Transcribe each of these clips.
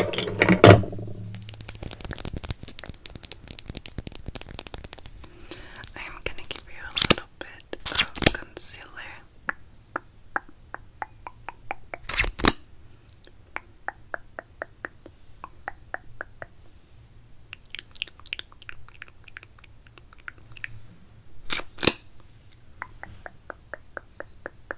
I am going to give you a little bit of concealer.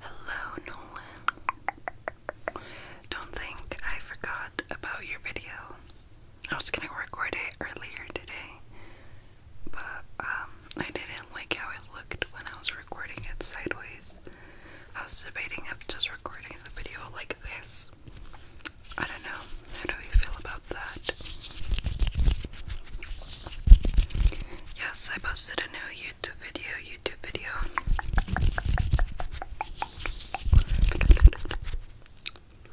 Hello, Nolan. Don't think I forgot about your video. I was gonna record it earlier today, but um, I didn't like how it looked when I was recording it sideways. I was debating of just recording the video like this I don't know. How do you feel about that? Yes, I posted a new YouTube video. YouTube video.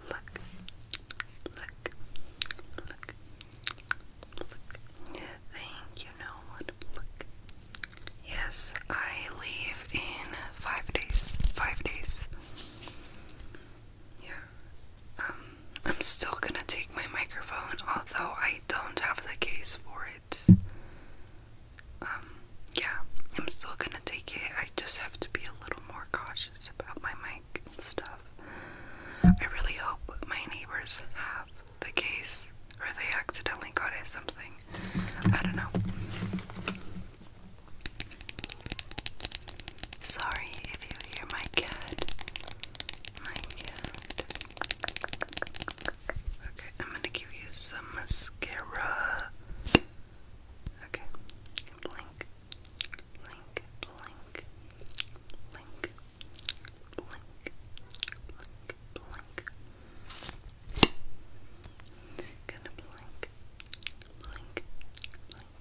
Look, look, look, look. Thank you, know what? Look. Yes, I leave in five days. Five days. Yeah. Um, I'm still gonna take my microphone, although I don't have the case for it. Um, yeah, I'm still gonna take it. I just have to be a little more cautious about my mic and stuff. I really hope my neighbors have the case or they accidentally got it something. I don't know. Sorry if you hear my cat. My cat. Okay, I'm gonna give you some mascara. Okay, blink, blink, blink, blink, blink, blink, blink. blink, blink,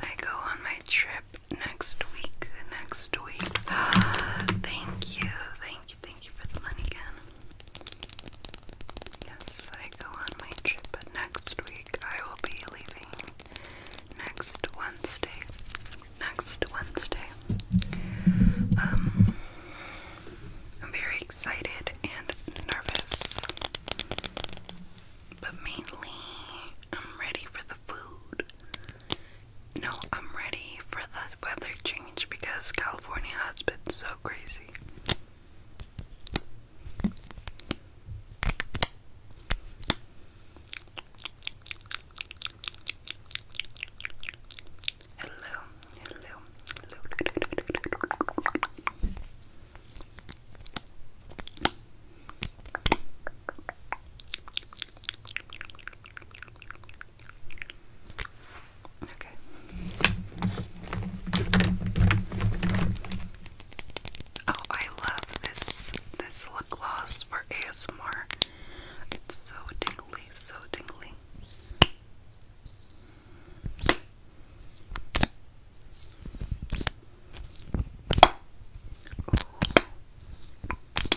I go on my trip next week. Next week. thank you. Thank Thank you for the money again. Yes, I go on my trip but next week. I will be leaving next Wednesday. Next Wednesday. Um, I'm very excited and nervous. But mainly, I'm ready for the food. No, I'm ready for the weather change because California has been so crazy. hello, hello. Okay. Oh, I love this this lip gloss for ASMR. It's so tingly, so tingly.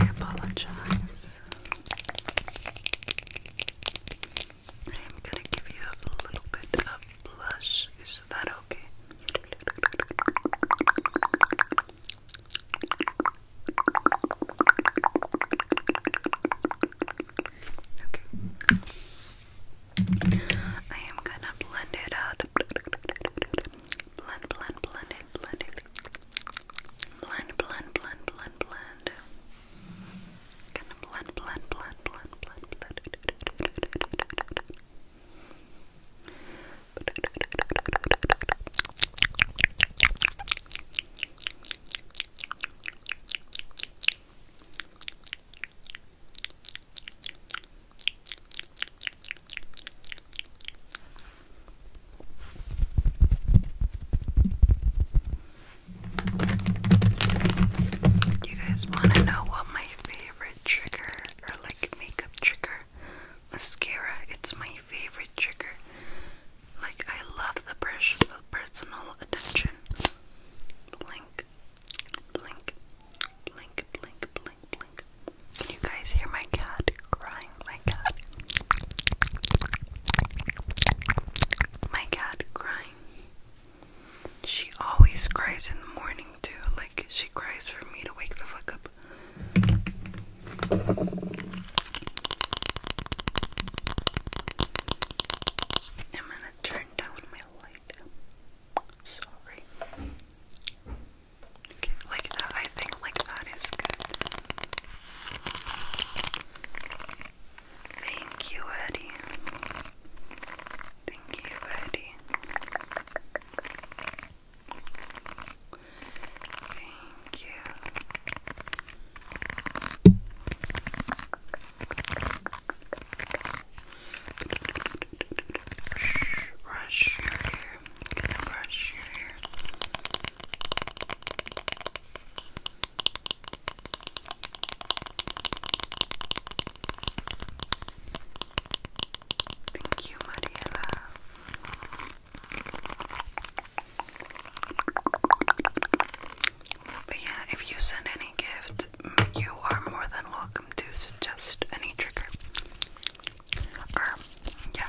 I apologize. I am gonna give you a little bit of blush. Is that okay? Okay. I am gonna blend it out. Blend, blend, blend it, blend it. Blend, blend, blend, blend, blend. Gonna blend, blend, blend, blend, blend, blend you guys want to know what my favorite trigger or like makeup trigger? Mascara. It's my favorite trigger. Like I love the precious personal attention. Blink, blink, blink, blink, blink, blink. Can you guys hear my cat? crying. My cat. My cat crying. She always cries in the morning too. Like she cries for me to wake the fuck up. I'm gonna turn down my light. Sorry. like that. I think like that is good. Thank you, Eddie. Thank you, Eddie. Thank you. Brush your hair. brush your hair. Thank you, Mariela. But yeah, if you send any gift, you are more than welcome to suggest any trigger. yeah.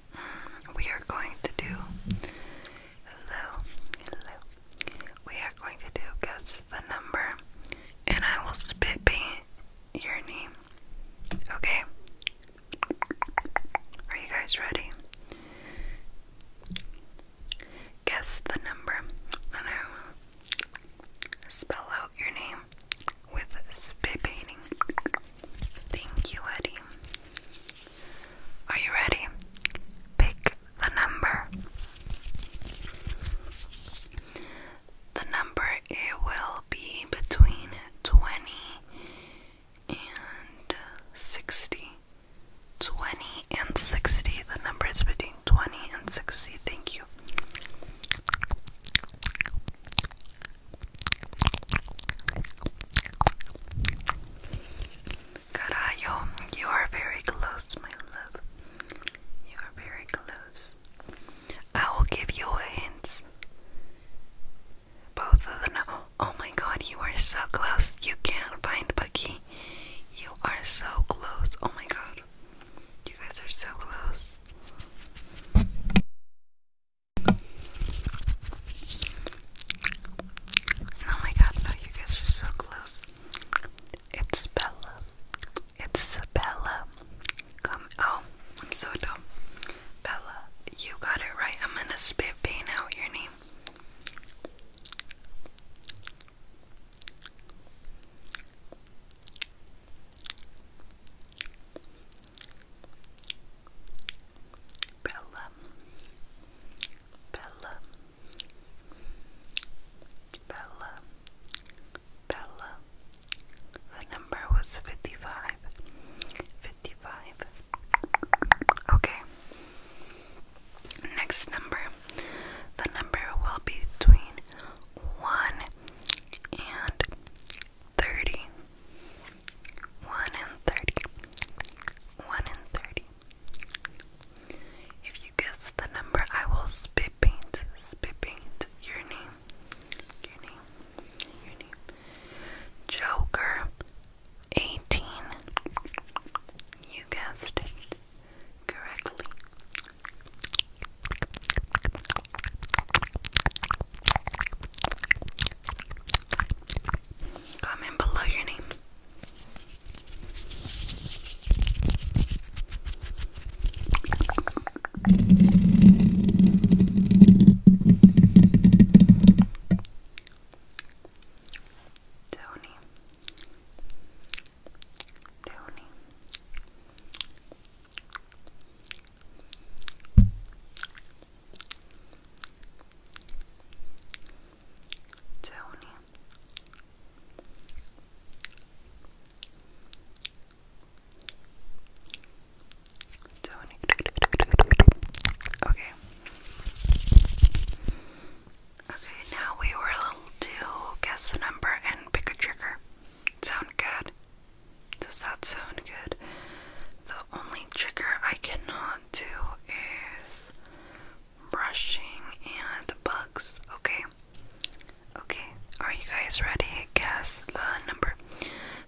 we are going to do hello, We are going to do guess the number, and I will spit paint your name. Okay. Are you guys ready? Guess the number, and I will spell out your name with spit painting. Thank you, Eddie. Are you ready? Pick the number. The number it will be between 20 and 60. 20 and 60. The number is between 20 and 60. Thank you. Carajo, you are very close, my love. You are very close. I will give you a hint. Both of them. Oh, oh my god, you are so close. You can't find Bucky. You are so close. Oh my god. You guys are so close. Oh my god, no, you guys are so close. It's Bella. It's Bella. Come. Oh, I'm so dumb. Bella, you got it right. I'm gonna spit paint out your name. Bella, Bella, Bella, Bella. The number was fifty-five. Okay. Next number. The number will be between one and thirty, one and thirty, one and thirty. If you guess the number, I will spit paint, spit paint your name, your name, your name. Joker, eighteen. You guessed it correctly. Comment below your name. Tony. Tony. Tony Tony Okay Okay, now we were to guess a number and pick a trigger. Sound good? Does that sound good? the only trigger I cannot do is brushing and bugs. Okay. Okay. Are you guys ready? Guess the number.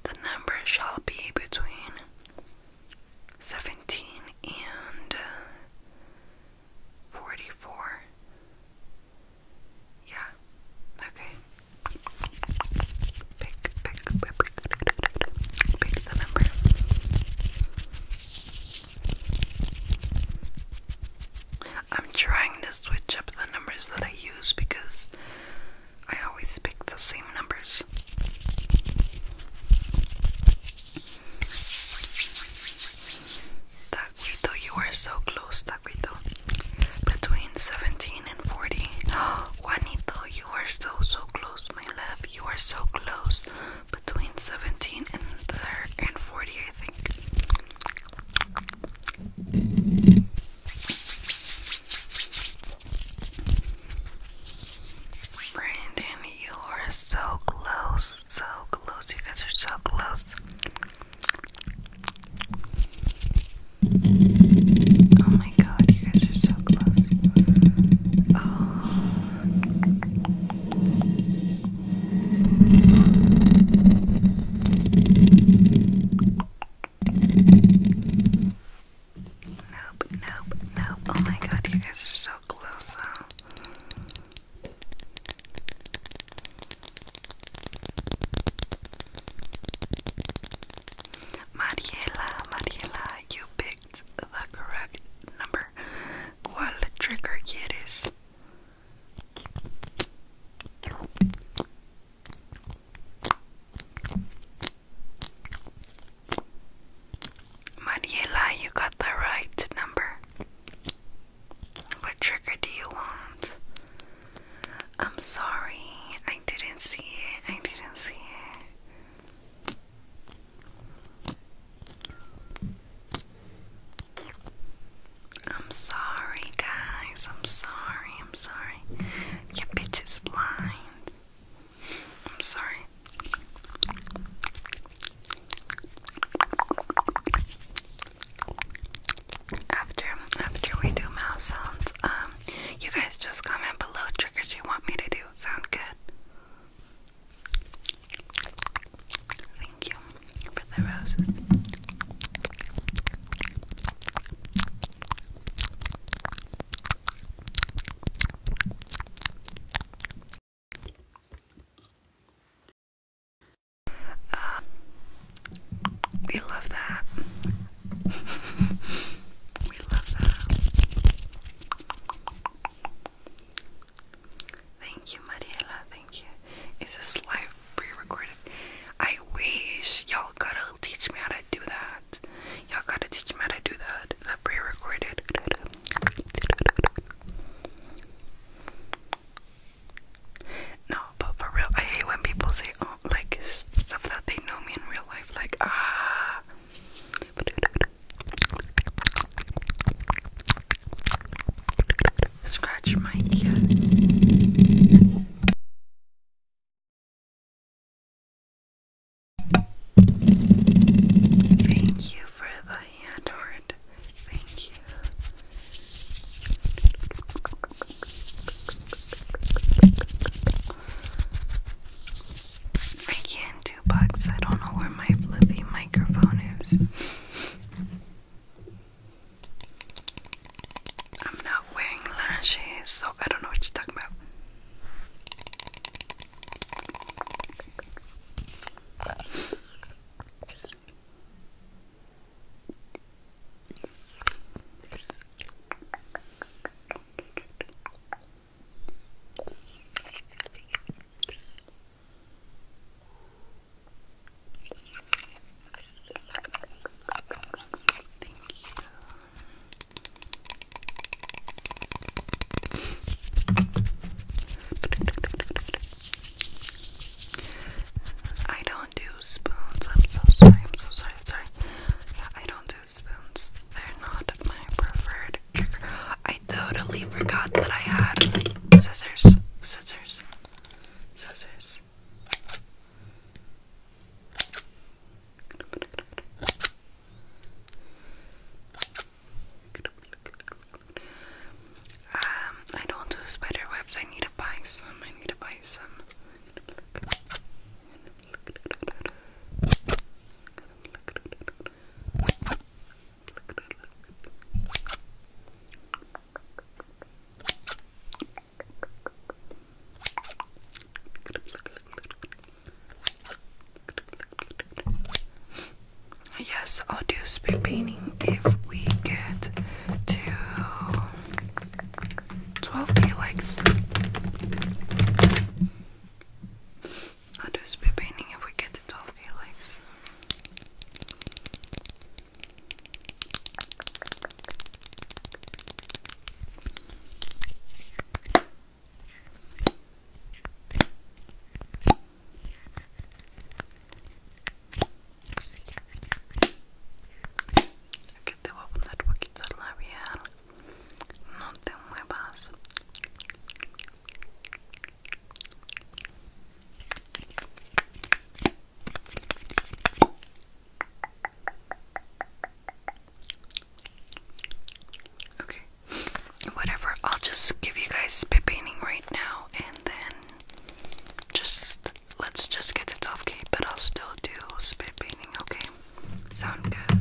The number shall be between 17 and 44. Yeah. Okay pick, pick, pick, pick the number. I'm trying to switch up the numbers that I use because I always pick the same numbers. Taquito, you are so close, Taquito. Between 17 and 40. Juanito, you you are so, so close, my love. You are so close. Between 17 and, there and 40, I think. Brandon, you are so close, so close. You guys are so close. Oh my god, you guys are so close. Oh. Nope, nope, nope. Oh my god, you guys are so close Mariela, Mariela, you picked the correct number. What trigger quieres? Mariela, you got the right number. What trigger do you want? I'm sorry, I didn't see it. I didn't see it. I'm sorry, guys. I'm sorry. I'm sorry. Your bitch is blind. I'm sorry. After after we do mouth sounds, um, you guys just comment below triggers you want me to do you sound good. Thank you for the roses. Uh, we love that we love that. Thank you, Mariela. Thank you. Is this live pre-recorded? I wish y'all gotta teach me how to do that. Y'all gotta teach me how to do that. That pre-recorded. No, but for real, I hate when people say, oh, like, stuff that they know me in real life. Like, ah, Scratch my ear. Thank you for the hand Thank you. I can't do bugs. I don't know where my fluffy microphone is. I'm not wearing lashes, so I don't know what you're talking about. I don't do spoons. I'm so sorry. I'm so sorry. Sorry. I don't do spoons. They're not my preferred. I totally forgot that I had scissors, scissors, scissors. Um, I don't do spider webs. I need to buy some. I need to buy some. Yes, I'll do speed painting if we get to 12k likes. I'll do speed painting if we get it off your legs. أكدب أبنى الوقت الطلاب يا Okay. Whatever. I'll just give you guys spit painting right now and then just let's just get it off, okay? But I'll still do spit painting, okay? Sound good?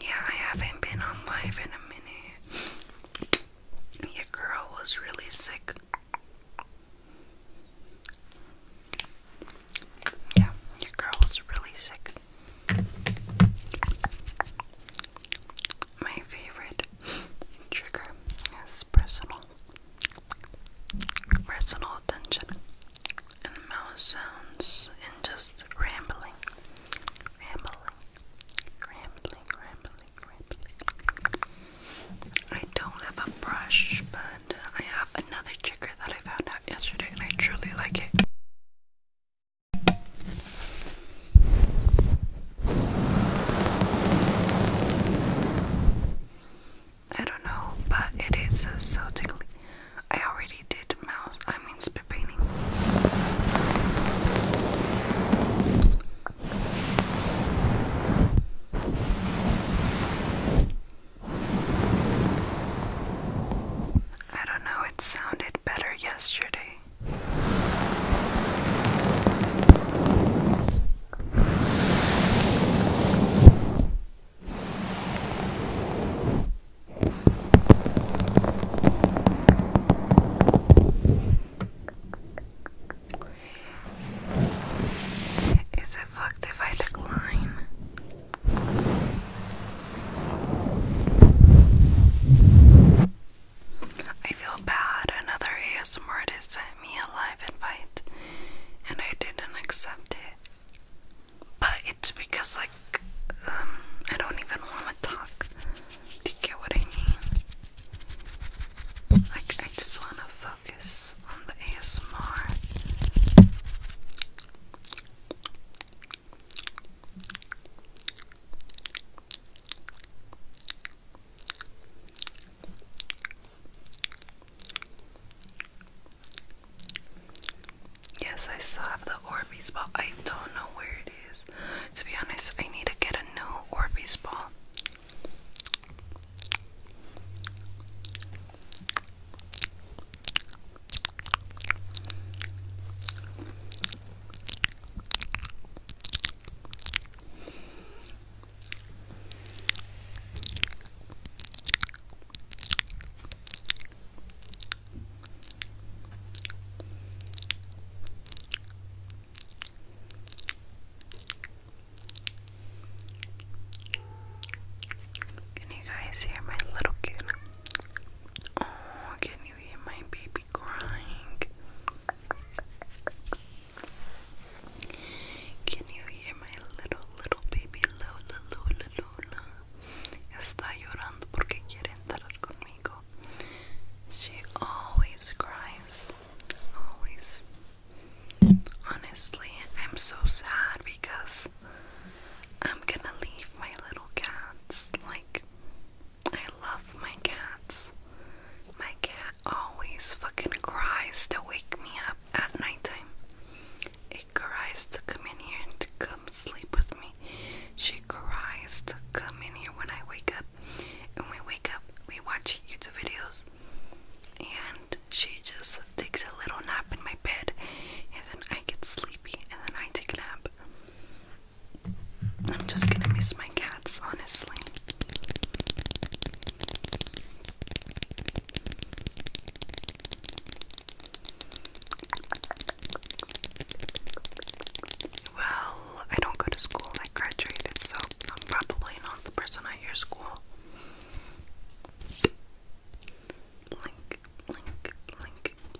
Yeah, I haven't been on live in a minute. Your girl was really sick. Yeah, your girl was really sick. My favorite trigger is personal, personal attention, mouse sounds, and just rambling, rambling, rambling, rambling, rambling. I don't have a brush, but I have another trigger that I found out yesterday, and I truly like it. I don't know, but it is so tickly. I already did mouse, I mean, spit painting. I don't know, it sounded better yesterday. Is it fucked if I decline? I feel bad. Another ASMR artist sent me a live invite and I didn't accept it. But it's because, like, um, I don't even want to talk. Do you get what I mean? Like, I just want to focus on the ASMR. Yes, I still have the Orbeez ball. I don't know where it is. To be honest, I need to get a new Orbeez ball. Can you guys hear my little kitty? Oh, can you hear my baby crying? Can you hear my little, little baby Lola, Lola, Lola? Está llorando porque quiere entrar conmigo. She always cries. Honestly, I'm so sad because I'm gonna leave my little cats. Like, I love my cats. My cat always fucking cries to wake me up at nighttime. It cries to come in here and to come sleep with me. She cries to come in here when I wake up. And we wake up, we watch YouTube videos, and she just takes a little nap in my bed, and then I get sleepy, and then I take a nap. I'm just gonna miss my cats, honestly. Well, I don't go to school, I graduated, so I'm probably not the person at your school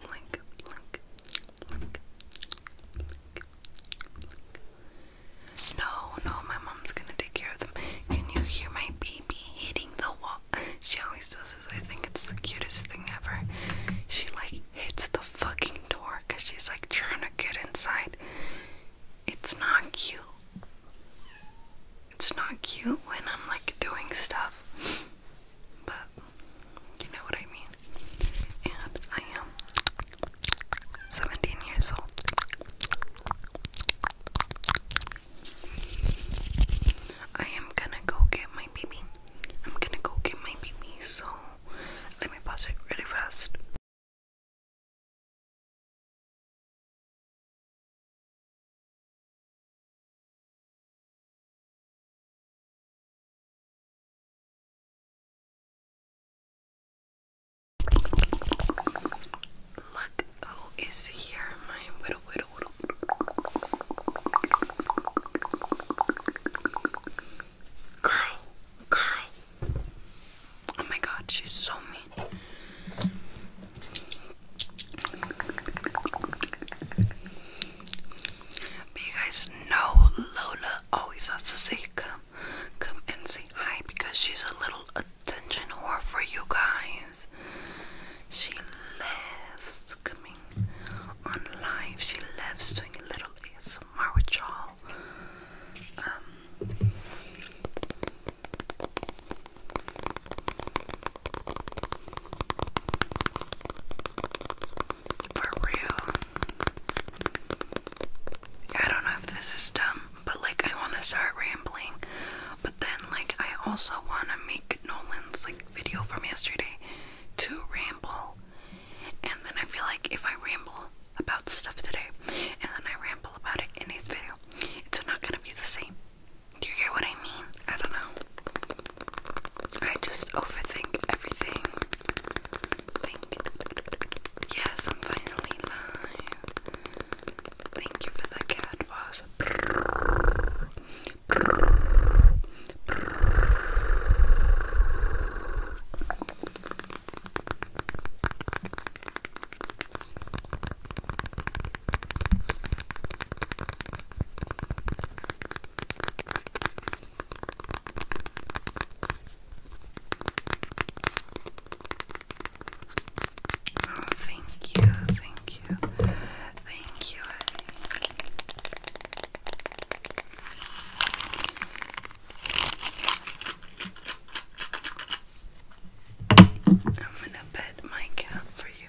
blink, blink, blink, No, no, my mom's gonna take care of them. Can you hear my baby hitting the wall? She always does this. I think it's the cutest thing ever. She like hits the fucking door because she's like trying to get inside. It's not cute. It's not cute when I'm like doing stuff but you know what I mean. And I am 17 years old. I am gonna go get my baby. I'm gonna go get my baby, so let me pause it really fast. Look who is here, my widow, widow, Girl, girl. Oh my god, she's so mean you guys know Lola always has to say come, come and say hi because she's a little attention whore for you guys. She loves coming on live. She loves doing a little ASMR with y'all. Um, for real. I don't know if this is dumb, but like I want to start rambling. But then like I also want to make Nolan's like video from yesterday to ramble. And then I feel like if I ramble about stuff today and then I ramble about it in his video, it's not going to be the same. Do you get what I mean? I don't know. I just overthink everything. Yes, finally Thank you for the cat Oh, thank you, thank you, thank you. I'm gonna pet my cat for you.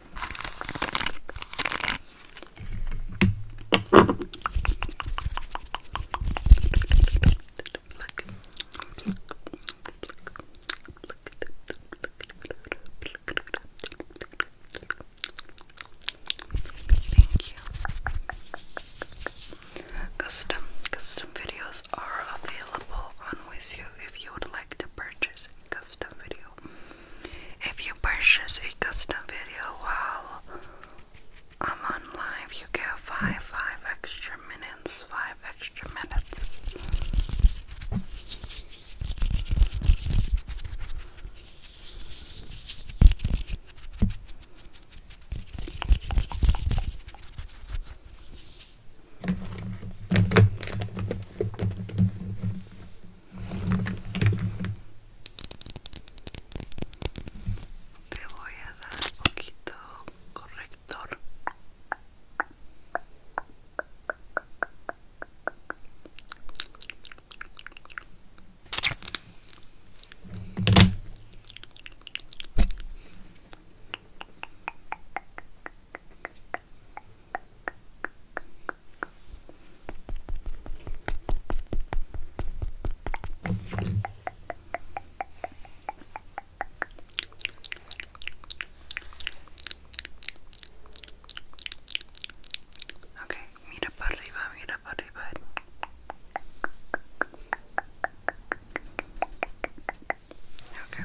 Thank you. Custom custom videos are available on Wizio if you would like to purchase custom video. If you purchase a custom video while I'm on live, you get five, five extra minutes, five extra minutes. Te voy a dar un poquito corrector. Okay, mira para arriba, mira para arriba. Okay.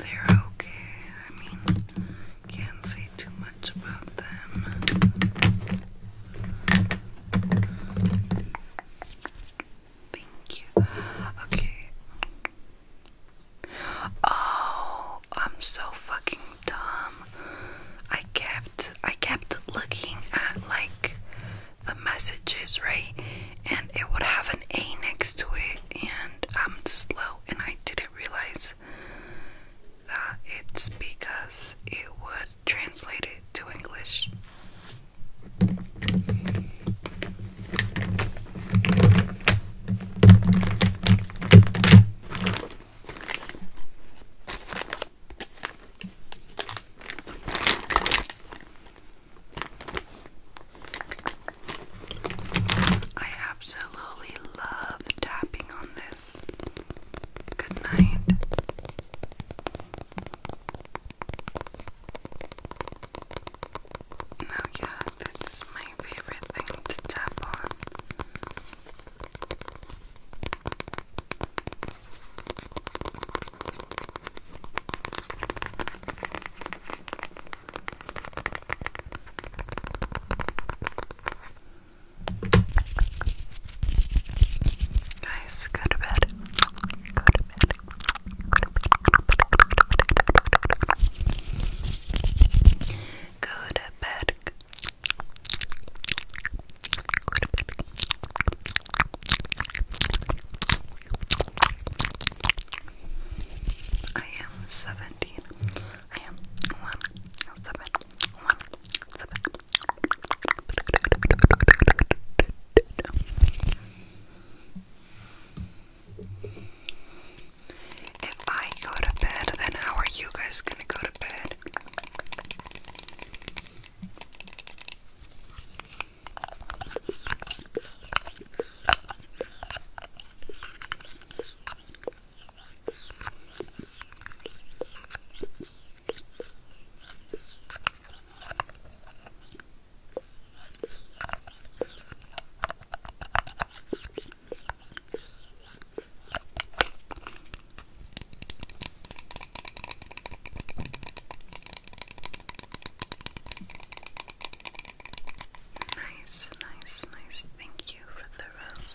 They're okay. I mean, can't say too much about them. Thank you. Okay. Oh, I'm so fucking dumb. I kept I kept looking at like the messages, right? And it would have an A next to it and I'm slow and I didn't realize that it's because it would translate it to English. I absolutely love tapping on this. Good night. Oh yeah, this is my favorite thing to tap on. Guys, go to bed. Go to bed. Go to bed. I am seventeen. I am one seven one seven. If I go to bed, then how are you guys gonna go to bed? Nice, nice, nice. Thank you for the rose.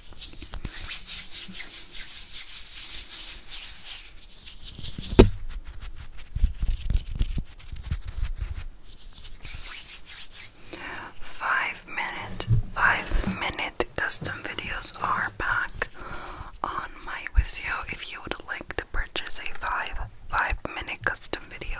Five minute, five minute custom videos are back on my Vizio if you would like to purchase a five, five minute custom video.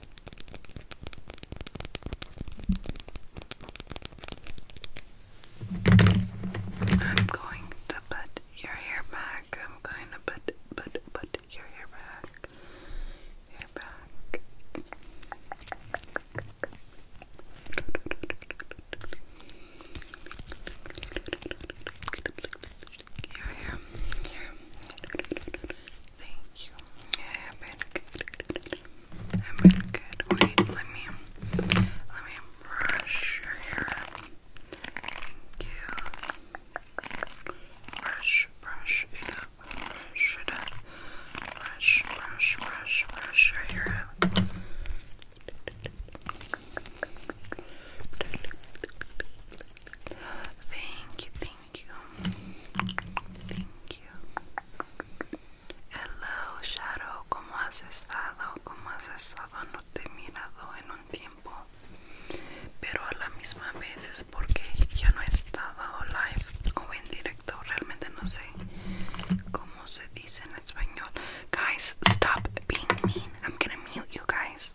I'm going to put your hair back. I'm going to put put put your hair back. Hair back. Your hair. Your Thank you. Yeah, I've been good. I've been good. Wait, let me let me brush your hair. you. Brush, brush it Brush Brush, brush, brush, brush your hair Thank you, thank you. Thank you. Hello Shadow, ¿cómo has estado? ¿Cómo has estado? No te he mirado en un tiempo. Pero a la misma vez es porque yo no he estado live o en directo. Realmente no sé cómo se dice en español. Guys, stop being mean. I'm gonna mute you guys.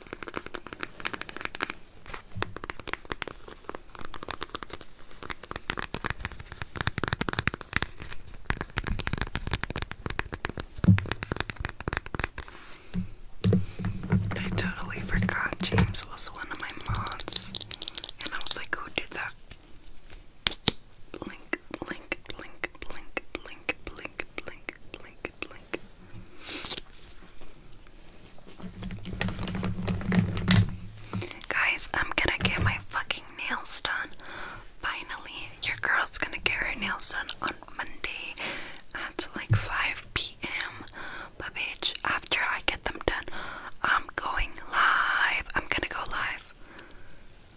I totally forgot James was one of my mods, and I was like, who did that? Blink, blink, blink, blink, blink, blink, blink, blink, Guys, I'm gonna get my fucking nails done. Finally, your girl's gonna get her nails done on Monday at like 5 p.m. But bitch, after I get them done, I'm going live. I'm gonna go live.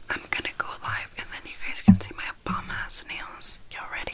I'm gonna go live and then you guys can see my bomb ass nails. Y'all ready?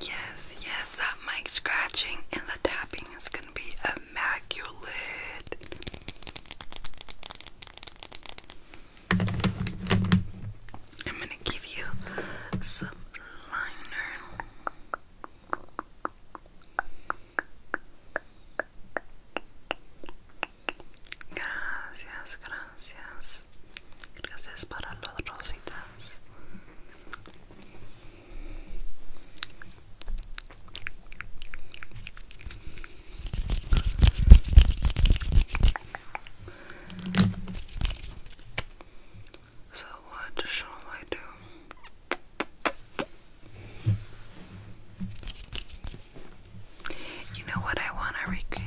Yes, yes, that mic scratching and the tapping is gonna be immaculate. I'm gonna give you some liner. Gracias, gracias. Gracias para los rositas. So, what shall I do? You know what I want to recreate?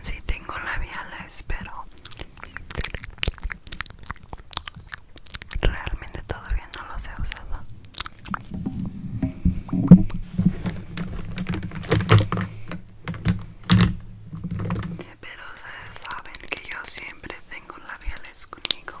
Si sí, tengo labiales, pero realmente todavía no los he usado. Pero ustedes saben que yo siempre tengo labiales conmigo.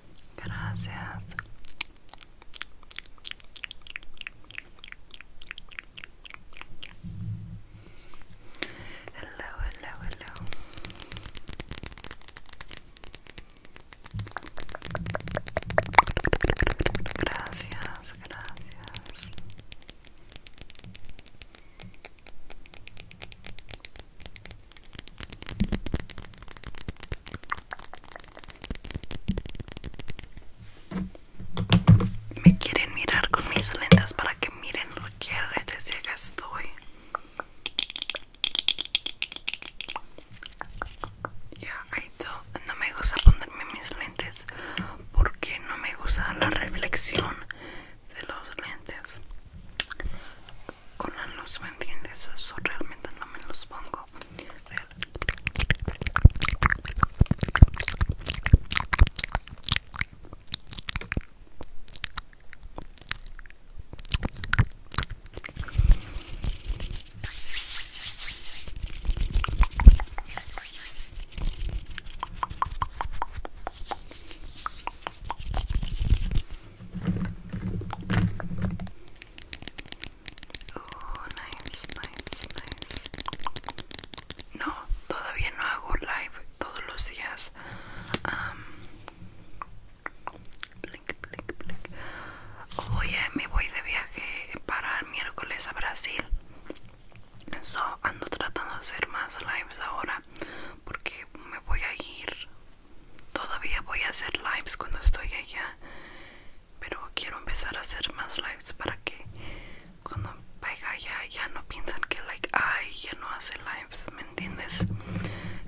Gracias. Hello, hello, hello. Gracias, gracias. Me quieren mirar con mis lentes para que miren lo que de ciega estoy. Ya, ahí No me gusta ponerme mis lentes porque no me gusta la reflexión de los lentes con la luz me entiendes eso realmente no me los pongo Oh, nice, nice, nice. No, todavía no hago live todos los días. blink, blink, Oye, eh, me voy de viaje para el miércoles a Brasil. So, ando tratando de hacer más lives ahora porque me voy a ir Todavía voy a hacer lives cuando estoy allá, pero quiero empezar a hacer más lives para que cuando vaya allá ya no piensan que like ay ya no hace lives, ¿me entiendes?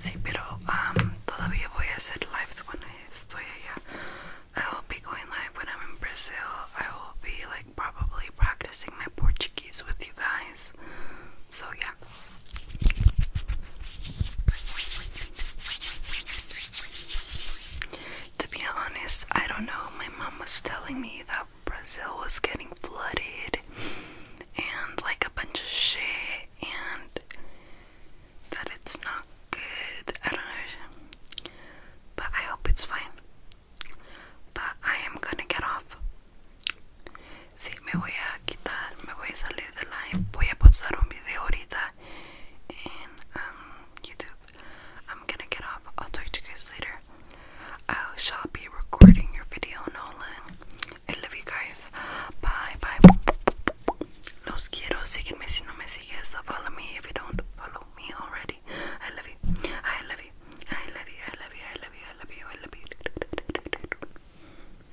Sí, pero um, todavía voy a hacer lives cuando estoy allá. I will be going live when I'm in Brazil. I will be like probably practicing my Portuguese with you guys. So yeah. To be honest, I don't know. My mom was telling me that Brazil was getting flooded and like a bunch of shit, and that it's not good. I don't know. But I hope it's fine. But I am gonna get off. Sí, me voy a quitar, me voy a salir de live. Voy a postar un video ahorita en um, YouTube. I'm gonna get off. I'll talk to you guys later. I shall be recording your video, Nolan. I love you guys. Bye, bye. Los quiero. Sígueme si no me sigues. Follow me if you don't follow me already. I love you. I love you. I love you. I love you. I love you. I love you. I love you. I love you.